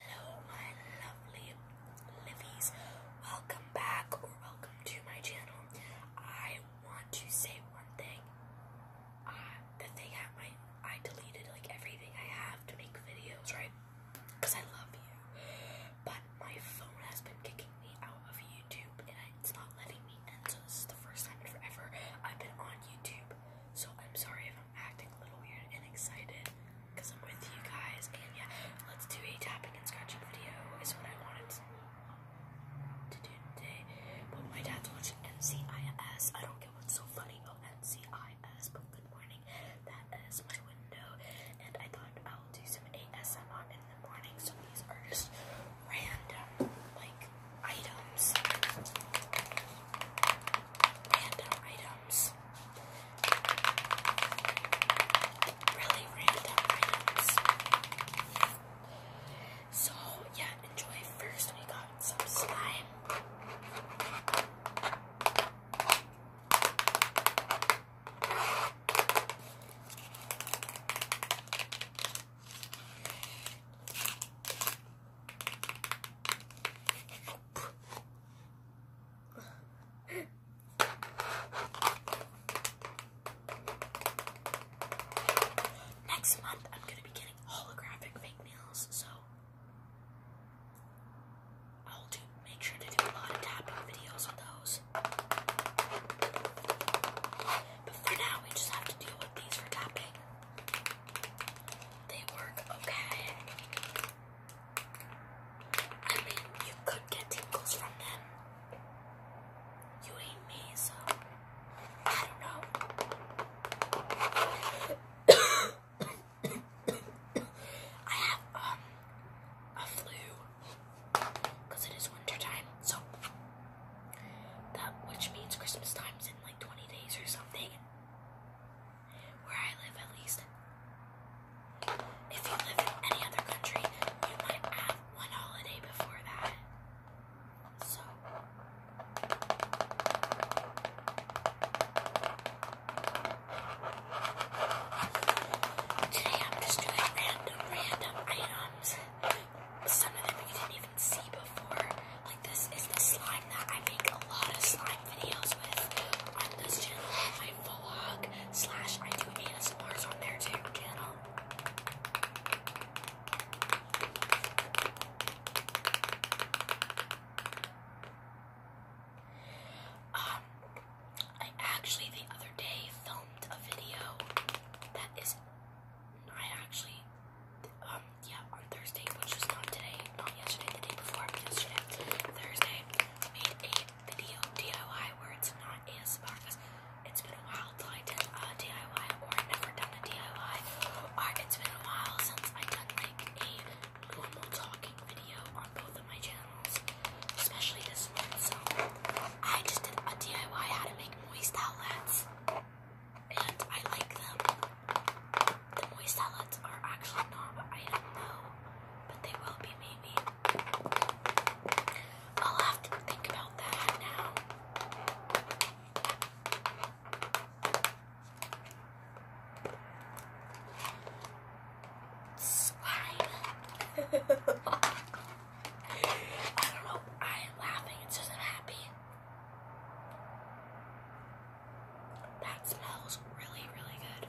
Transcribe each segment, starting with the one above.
Hello, my lovely Livies. Welcome back or welcome to my channel. I want to say one thing. Uh, the thing I, my, I deleted like everything I have to make videos, right? Because I love you. But my phone has been kicking me out of YouTube and it's not letting me in. So this is the first time in forever I've been on YouTube. So I'm sorry if I'm acting a little weird and excited because I'm with you guys. And yeah, let's do a tapping and scratching video, is what I wanted to do today. But my dad's watching NCIS. I don't get what's so funny about NCIS, but good morning. That is my window. And I thought I'll do some ASMR in the morning, so these are just random, like, items random items. Really random items. So, yeah, enjoy. First, we got some slime. Next month, I'm going to be getting holographic fake nails, so I'll do, make sure to do a lot of tapping videos on those. But for now, we just have to deal with these for tapping. They work okay. I mean, you could get tingles from them. You ain't me, so I don't know. I have um a flu because it is winter so that which means Christmas time's in like 20 days or something. Where I live, at least. If you live in any other country, you might have one holiday before that. So. Today I'm just doing random, random items some of them you didn't even see before. Like this is the slime that I make a lot of slime videos with on this channel, my vlog slash I do ASMRs on their channel. Um, I actually the other day filmed a video that is I actually, um, yeah, on Thursday, which was not today, not yesterday, the day before, yesterday, Thursday, I made a video DIY where it's not ASMR because it's been a while since I did a DIY or I've never done a DIY or it's been a while since I've done like a normal talking video on both of my channels, especially this one. So I just did a DIY how to make moist outlets and I like them. The moist salads are actually not I don't know, but they will be maybe. I'll have to think about that now. Slime. I don't know. I am laughing. It's just happy. That smells really, really good.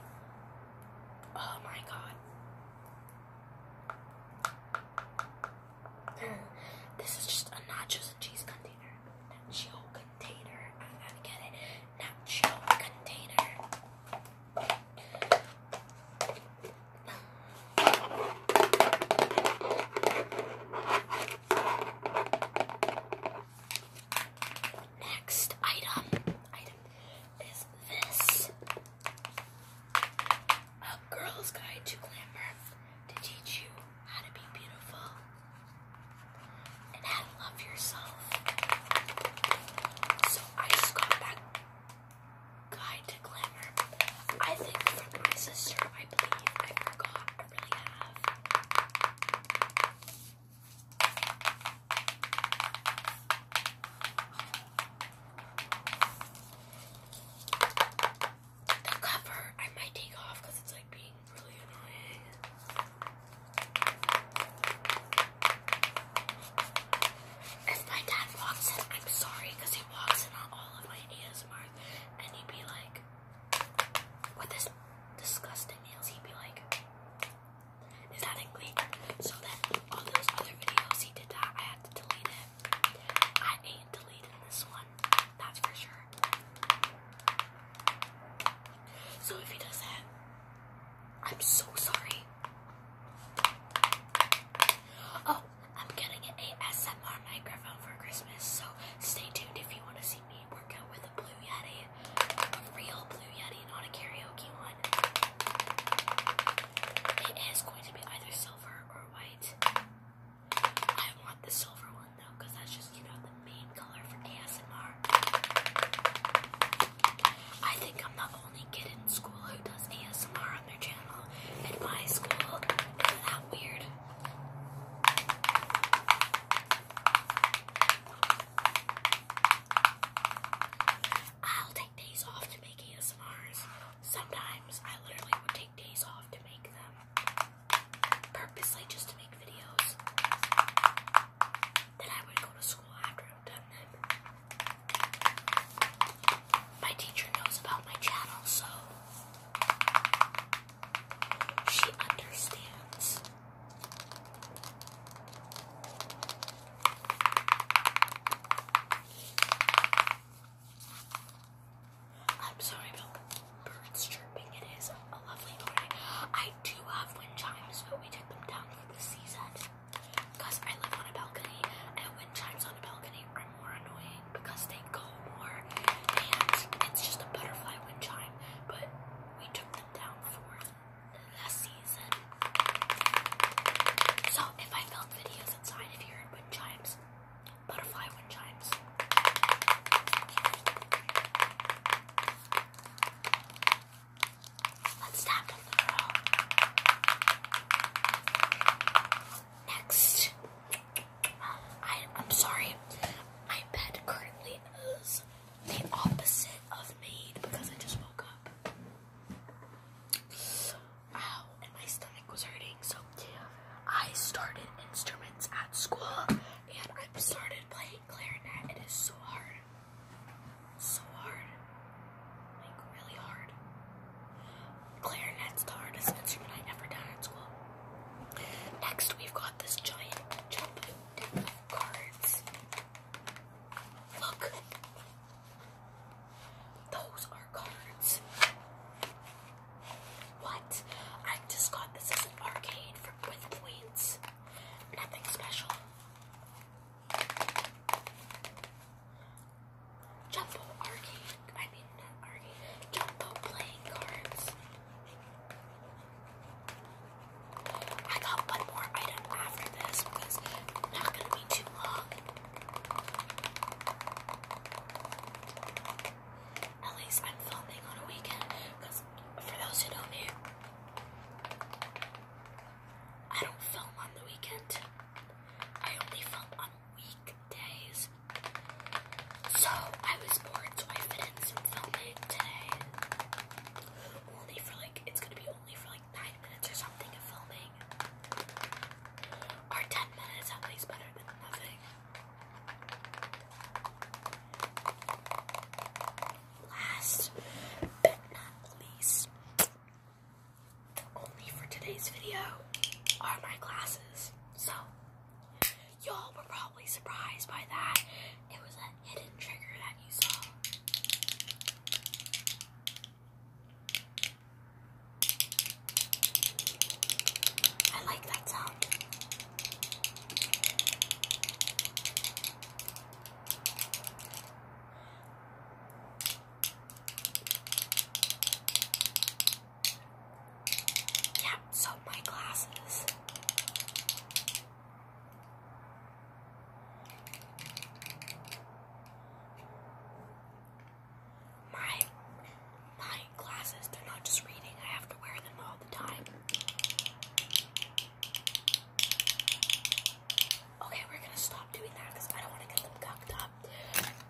Oh my god. This is just a nachos and cheese container. Nacho container. I got get it. Nacho container. Next item, is this. A girl's guide to glamour to teach you how to be beautiful and how to love yourself. So I just got back Guide to Glamour. I think from my sister, I believe. I forgot. I really have. The cover I might take off because it's like being really annoying. If my dad walks in, I'm sorry because he walks in on all of my ASMRs and he'd be like, with this disgusting nails, he'd be like, is that English? So then all those other videos he did that, I had to delete it. I ain't deleting this one, that's for sure. So if he does that, I'm so sorry. Oh, I'm getting an ASMR microphone for Christmas, so stay tuned if you want to see me work out with a Blue Yeti. A real Blue Yeti, not a karaoke one. It is going to be either silver or white. I want the silver one though, that's just, you know, the main color for ASMR. I think I'm the only kid in school who does ASMR on their channel, and my school isn't that weird. I'll take days off to make ASMRs. Sometimes I literally would take days off to make them. Purposely just to make videos. Then I would go to school after my teacher knows about my channel, so she understands. I'm sorry about birds chirping. It is a lovely morning. I do have wind chimes, but we took them down the season because I live on a balcony and wind chimes on a balcony are more annoying because they go more and it's just a butterfly wind chime but we took them down for the season. So if I filmed videos inside if you heard wind chimes, butterfly wind chimes. Let's tap on the girl. Next, I, am sorry, my bed currently is the opposite of made because I just woke up. Ow, and my stomach was hurting, so I started instruments at school and I started playing clarinet, it is so hard. So hard. Like, really hard. Clarinet's the hardest instrument I ever done at school. Next, we've got this giant jump cards. Look. Those are cards. What? I just got this as an arcade for, points. Nothing special. arcade. I mean, arcade. Jumbo playing cards. I got one more item after this it's not going to be too long at least I'm filming on a weekend because for those who know me, I don't film on the weekend. I only film on weekdays. So I was bored, so I fit some filming today. Only for like, it's gonna be only for like nine minutes or something of filming. Or ten minutes, at better than nothing. Last but not least, only for today's video are my glasses. So, y'all were probably surprised by that. It was a hidden trigger that you saw. I like that song. Yeah, so my glasses my my glasses. They're not just reading. I have to wear them all the time. Okay, we're gonna stop doing that because I don't want to get them gucked up.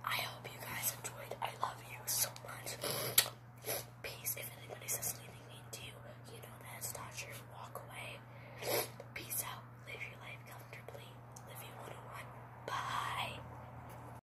I hope you guys enjoyed. I love you so much. Peace. If anybody says anything mean to you, you know that it's not true. Walk away. Peace out. Live your life comfortably. Live 101. Bye.